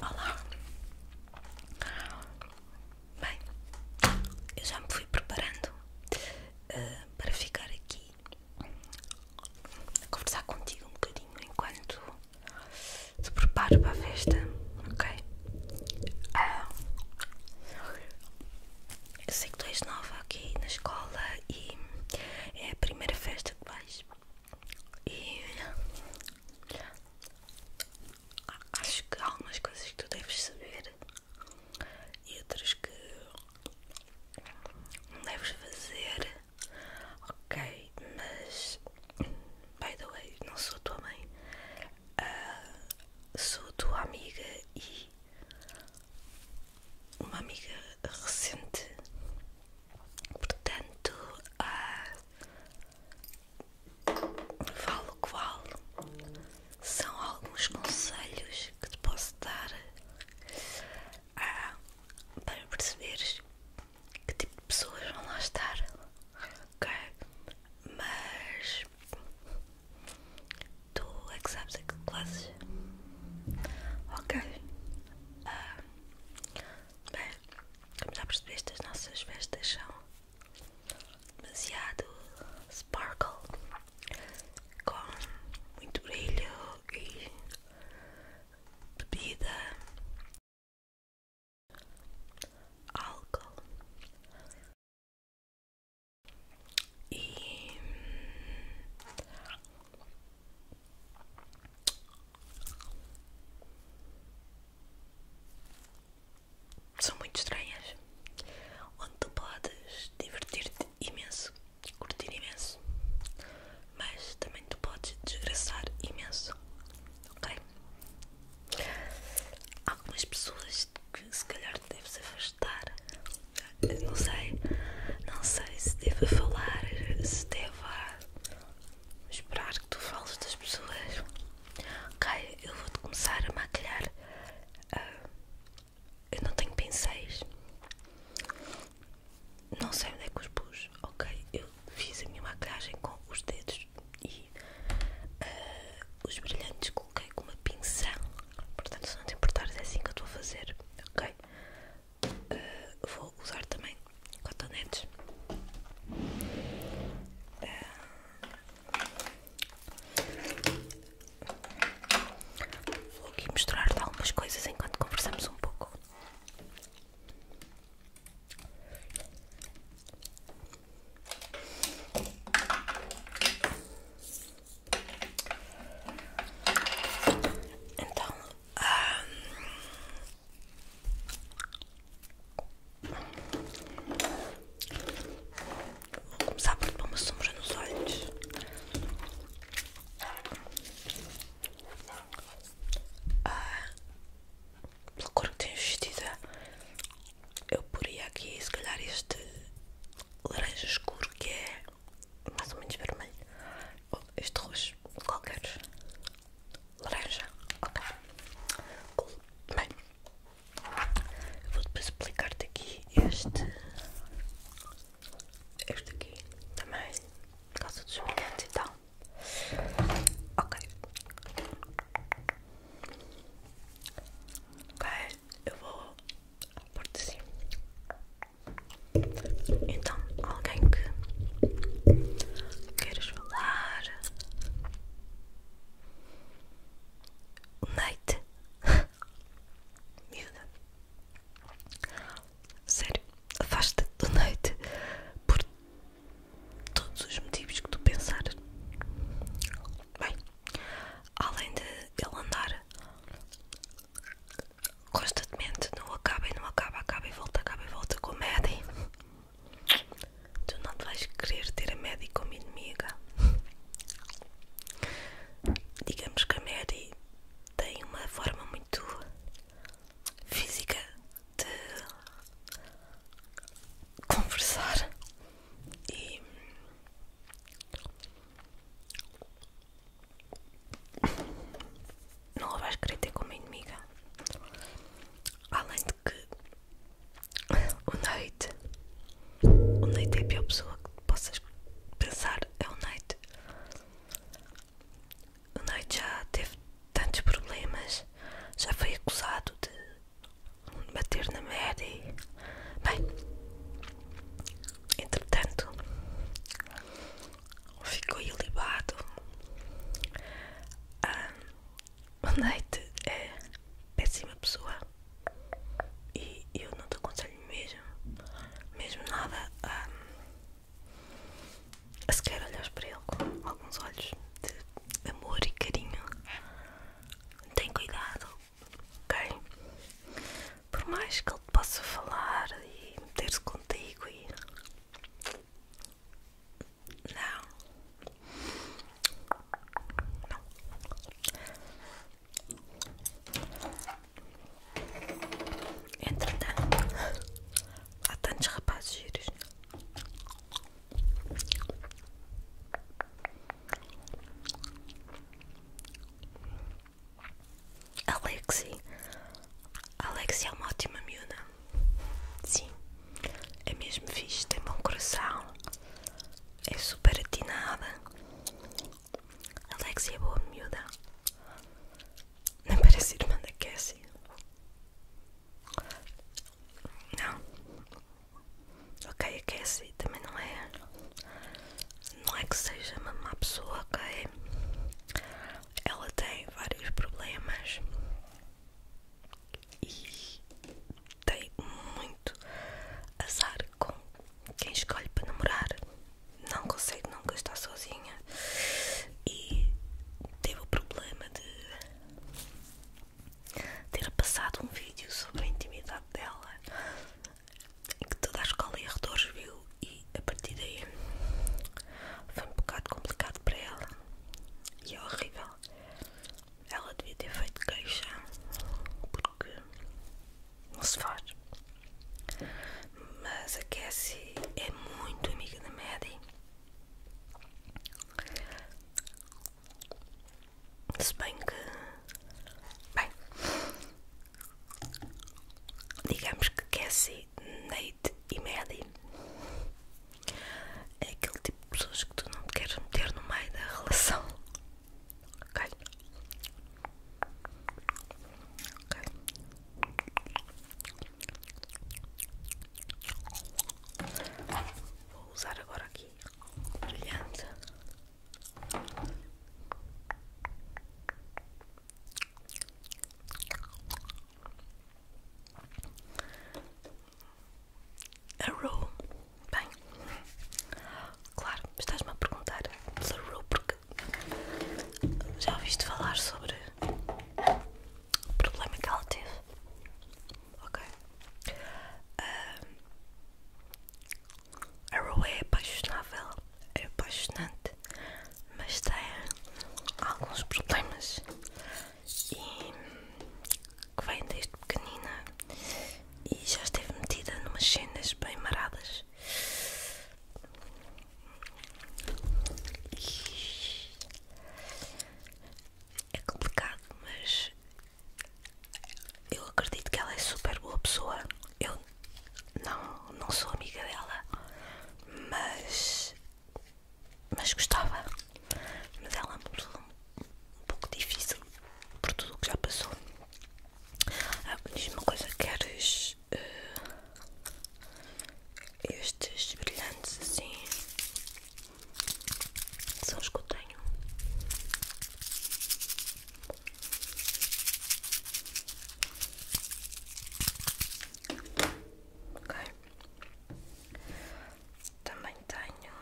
Olá. Bem, eu já me fui preparando eh, para ficar aqui a conversar contigo um bocadinho enquanto te preparo para a festa, ok? Ah. Eu sei que tu és nova aqui na escola e é a primeira festa que vais. E acho que há algumas coisas que tu deves saber e outras que não deves fazer. Ok, mas by the way, não sou tua mãe, uh, sou tua amiga e uma amiga recente, portanto, ah, falo qual são alguns conselhos que te posso dar ah, para perceberes que tipo de pessoas vão lá estar, ok? Mas Tu é que sabes a que classes? Ok. Ah, bem, como já percebeste, as nossas vestes são demasiado sparkle com muito brilho e bebida, álcool. E são muito estranhas, onde tu podes divertir-te imenso, curtir imenso, mas também tu podes desgraçar imenso, ok? Algumas pessoas que se calhar te deves afastar? Não sei, não sei se devo falar, se devo esperar que tu fales das pessoas. Ok, eu vou-te começar a maquilhar. Ah, eu não tenho pincéis. Não sei onde é que os pus. Ok, eu fiz a minha maquilhagem com os dedos e ah, os brilhantes coloquei com uma pinça Portanto, se não te importares, é assim que eu estou a fazer, ok? Eh, vou usar também cotonetes eh, Vou aqui mostrar-te algumas coisas enquanto conversamos um pouco então, hum, vou começar por pôr uma sombra nos olhos. Ah, pela cor que tem vestida eu poria aqui se calhar este laranja escuro que é mais ou menos vermelho ou este roxo qualquer laranja ok cool. bem eu vou depois explicar te aqui este este aqui também por causa dos brilhantes e tal ok Ok, eu vou por de cima. Então, alguém que queiras falar? O Leite? Miúda. Sério, afasta-te do Neite por todos os motivos que tu pensares. Bem, Além de ele andar constantemente no acaba e não acaba, acaba e volta, acaba e volta com a Maddie, tu não vais querer ter a Maddie como inimiga. Digamos que a Maddie tem uma forma muito física de conversar e não a vais querer ter como inimiga. Além de que o Nate, o Nate é a pior pessoa que possas pensar. É o Nate. O Nate já teve tantos problemas, já foi acusado de bater na merda Bem, entretanto, ficou ilibado. Um, o Nate é péssima pessoa e eu não te aconselho mesmo, mesmo nada a, a sequer olhar para ele com alguns olhos de amor e carinho. Tem cuidado ok? Por mais que ele possa falar e meter-se contigo e. Não. Não. Entretanto, há tantos rapazes giros Alexi, Alexi é uma ótima miúda. Sim, é mesmo fixe, tem bom coração, é super atinada. Alexi é boa miúda, não parece irmã da Cassie. Não, Ok, aquece também não é. Não é que seja uma má pessoa, ok? Ela tem vários problemas e tem muito azar com quem escolhe para namorar. Não consegue nunca estar sozinha e teve o problema de ter passado um vídeo sobre a intimidade dela em que toda a escola e arredores viu e a partir daí foi um bocado complicado para ela e é horrível. Ela devia ter feito queixa porque não se faz. Mas a Cassie é muito amiga da Maddie se bem que. Bem. Digamos que Cassie, Nate e Maddie é aquele tipo de pessoas que tu não queres meter no meio da relação. Ok? Ok. Vou usar agora aqui brilhante. A Rue, bem, claro, estás-me a perguntar sobre a Rue porque já ouviste falar sobre o problema que ela teve ok? Um, a Rue é apaixonável, é apaixonante, mas tem alguns problemas e que vem desde pequenina e já esteve metida numas cenas bem maradas. é complicado, mas eu acredito que ela é super boa pessoa. Eu não, não sou amiga dela, mas, mas gostava. Mas ela é uma pessoa um pouco difícil por tudo o que já passou. Ah, Diz-me uma coisa: queres uh, estes brilhantes assim? São os que eu tenho. Ok. Também tenho.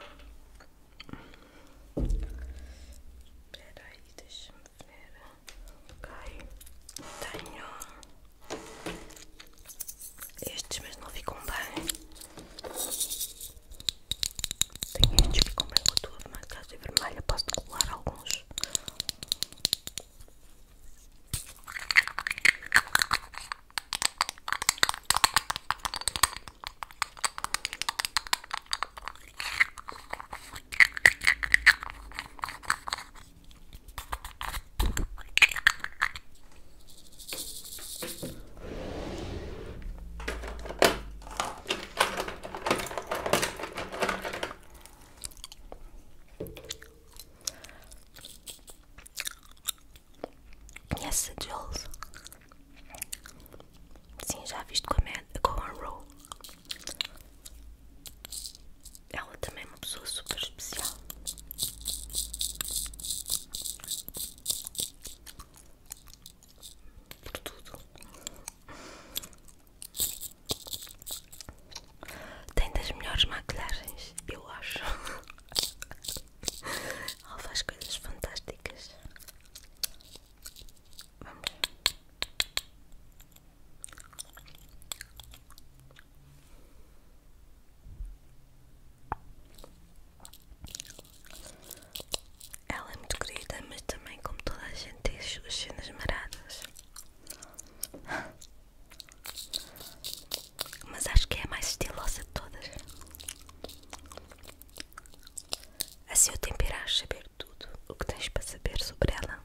Espera aí, deixa-me ver. Ok. Tenho. Estes, mas não ficam bem. Tem gente que compra tudo, mas casa vermelha posso colar alguns. Conhece a Jules? Sim, já viste com a, Man, com a Row. Ela também é uma pessoa super especial por tudo. Tem das melhores maquilhagens, eu acho. Ela faz coisas fantásticas. Vamos. Ela é muito querida, mas também, como toda a gente, tem as cenas maradas. Mas acho que é a mais estilosa de todas. Assim eu temperar saber tudo o que tens para saber sobre ela.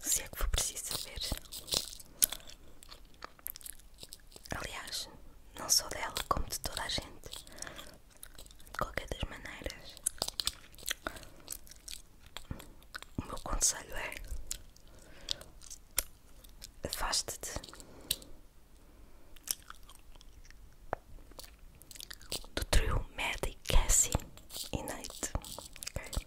Se é que for preciso saber. Aliás, não só dela, como de toda a gente. De qualquer das maneiras, o meu conselho é: afaste-te. Do trio Maddie, Cassie é e Nate. Okay?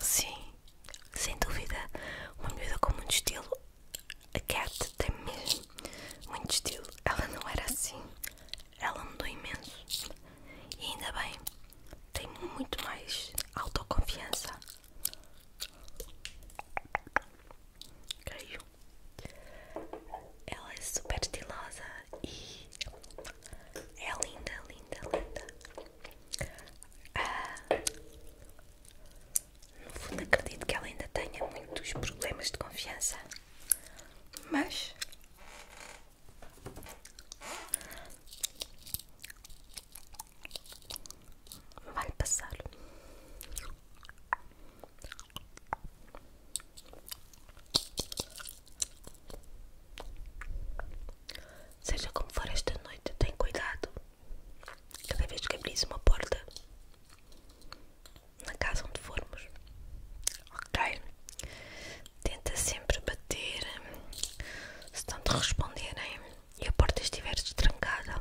Sim, sem dúvida, uma miúda com muito estilo. A Cat tem mesmo muito estilo. Ela não era assim. Ela mudou imenso. E ainda bem, tem muito mais autoconfiança. Caiu. Ela é super estilosa e é linda, linda, linda. Ah, no fundo, acredito que ela ainda tenha muitos problemas de confiança, mas vai passar. Seja como for esta noite, tem cuidado. Cada vez que abris uma porta na casa onde formos, ok? Tenta sempre bater. Se não te responderem e a porta estiver destrancada,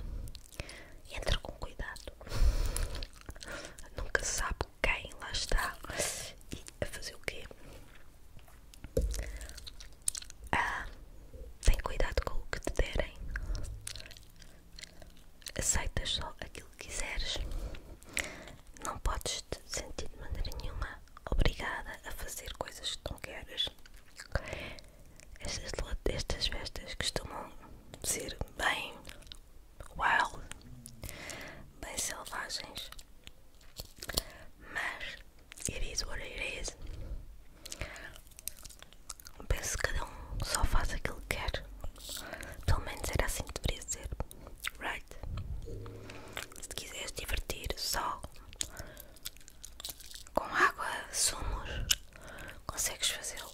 entra com cuidado. Nunca se sabe quem lá está e a fazer o quê? Ah, tem cuidado com o que te derem. Aceitas só aquilo que quiseres. Não podes te sentir de maneira nenhuma obrigada a fazer coisas que não queres. Estas, estas festas costumam ser bem wild, bem selvagens, mas It is what it is. Penso que cada um só faz aquilo que quer. Pelo menos era assim que deveria ser. Right? Se quiseres divertir só com água, sumos, consegues fazê-lo.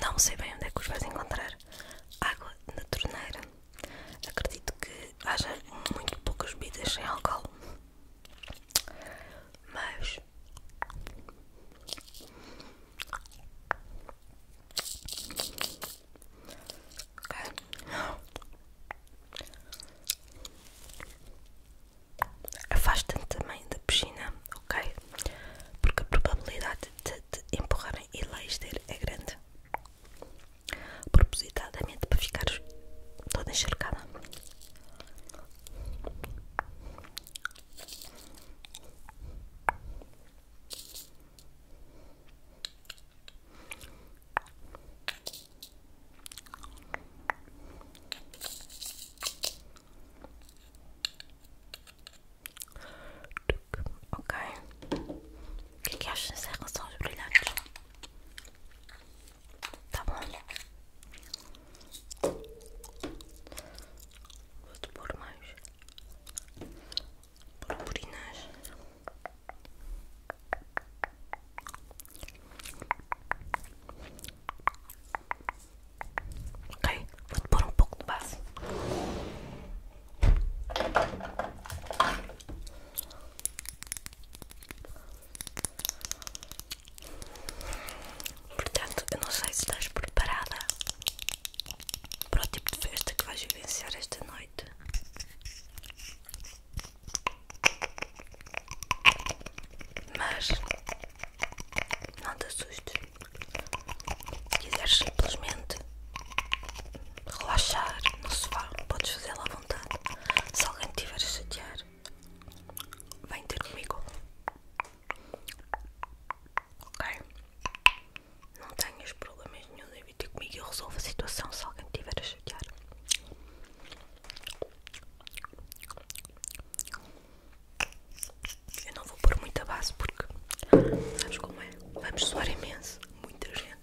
Não sei bem onde é que os vais encontrar. Água na torneira. Acredito que haja muito poucas bebidas sem álcool. Mas afastem também da piscina, ok? Porque a probabilidade de te empurrarem e lá é grande. propositadamente para ficares toda encharcada. Ok, o que é que achas em relação brilhantes? Tá bom? Vou-te pôr mais purpurinas. Ok, vou-te pôr um pouco de base. Portanto, eu não sei se estás preparada para o tipo de festa que vais vivenciar esta noite. Mas não te assustes. Se quiseres simplesmente relaxar no sofá, podes fazer la à vontade. Se alguém te tiver a chatear, vem ter comigo. Ok? Não tenhas problemas nenhum vem ter comigo. Eu resolvo a situação se alguém te tiver a chatear. Eu não vou pôr muita base porque sabes como é? Vamos suar imenso, muita gente.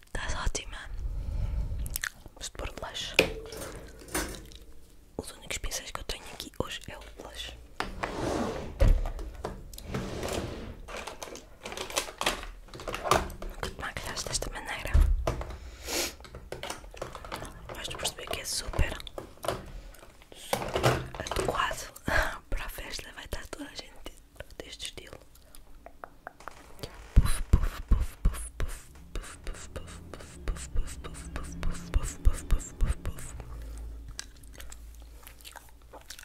Estás ótima. Vamos pôr o blush. Os únicos pincéis que eu tenho aqui hoje é o blush. Nunca te maquilhaste desta maneira. Vais perceber que é super, super adequado para a festa. Vai estar toda a gente deste estilo. Puff, puff, puff, puff, puff, puff, puff, puff, puff, puff, puff, puff, puff, puff,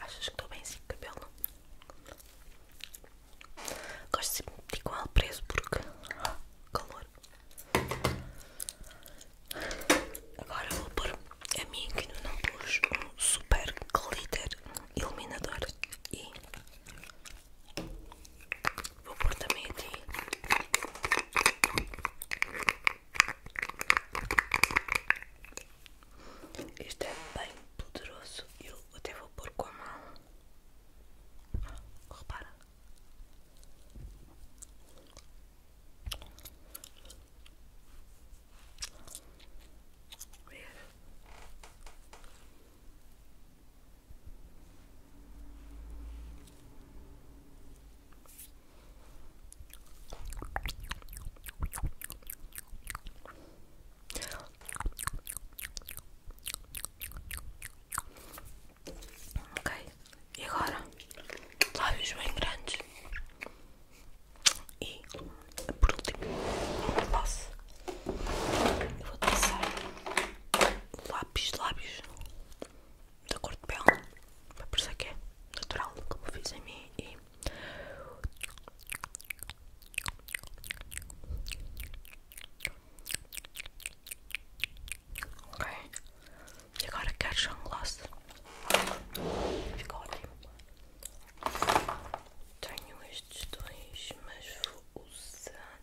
Achas que estou bem assim com o cabelo? Gosto de sempre de meter com ele preso porque calor. Agora vou pôr a mim que não pus um super glitter iluminador e Vou pôr também aqui. isto é bem poderoso. Eu até vou pôr com a mão. repara. Ok, e agora lábios bem grandes e por último uma posse vou passar lápis lápis de lábios da cor de pele, para parecer é que é natural, como fiz em mim e Ok, e agora quero já um gloss Fica ótimo Tenho estes dois, mas vou usar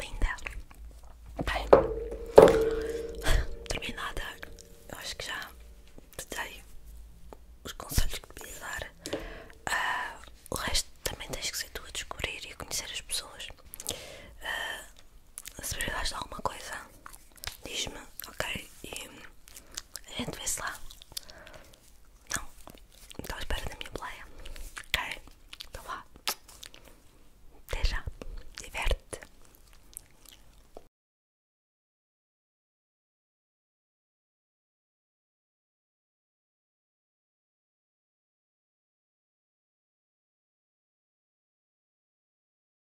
Linda. Bem, terminada, eu acho que já dei os conselhos que devia dar. Ah, o resto também tens que ser tu a descobrir e a conhecer as pessoas. Ah, se precisares de alguma coisa, diz-me, ok? E a gente vê-se lá. Não, estou à espera da minha playa, ok? Então vá. Até já. Diverte.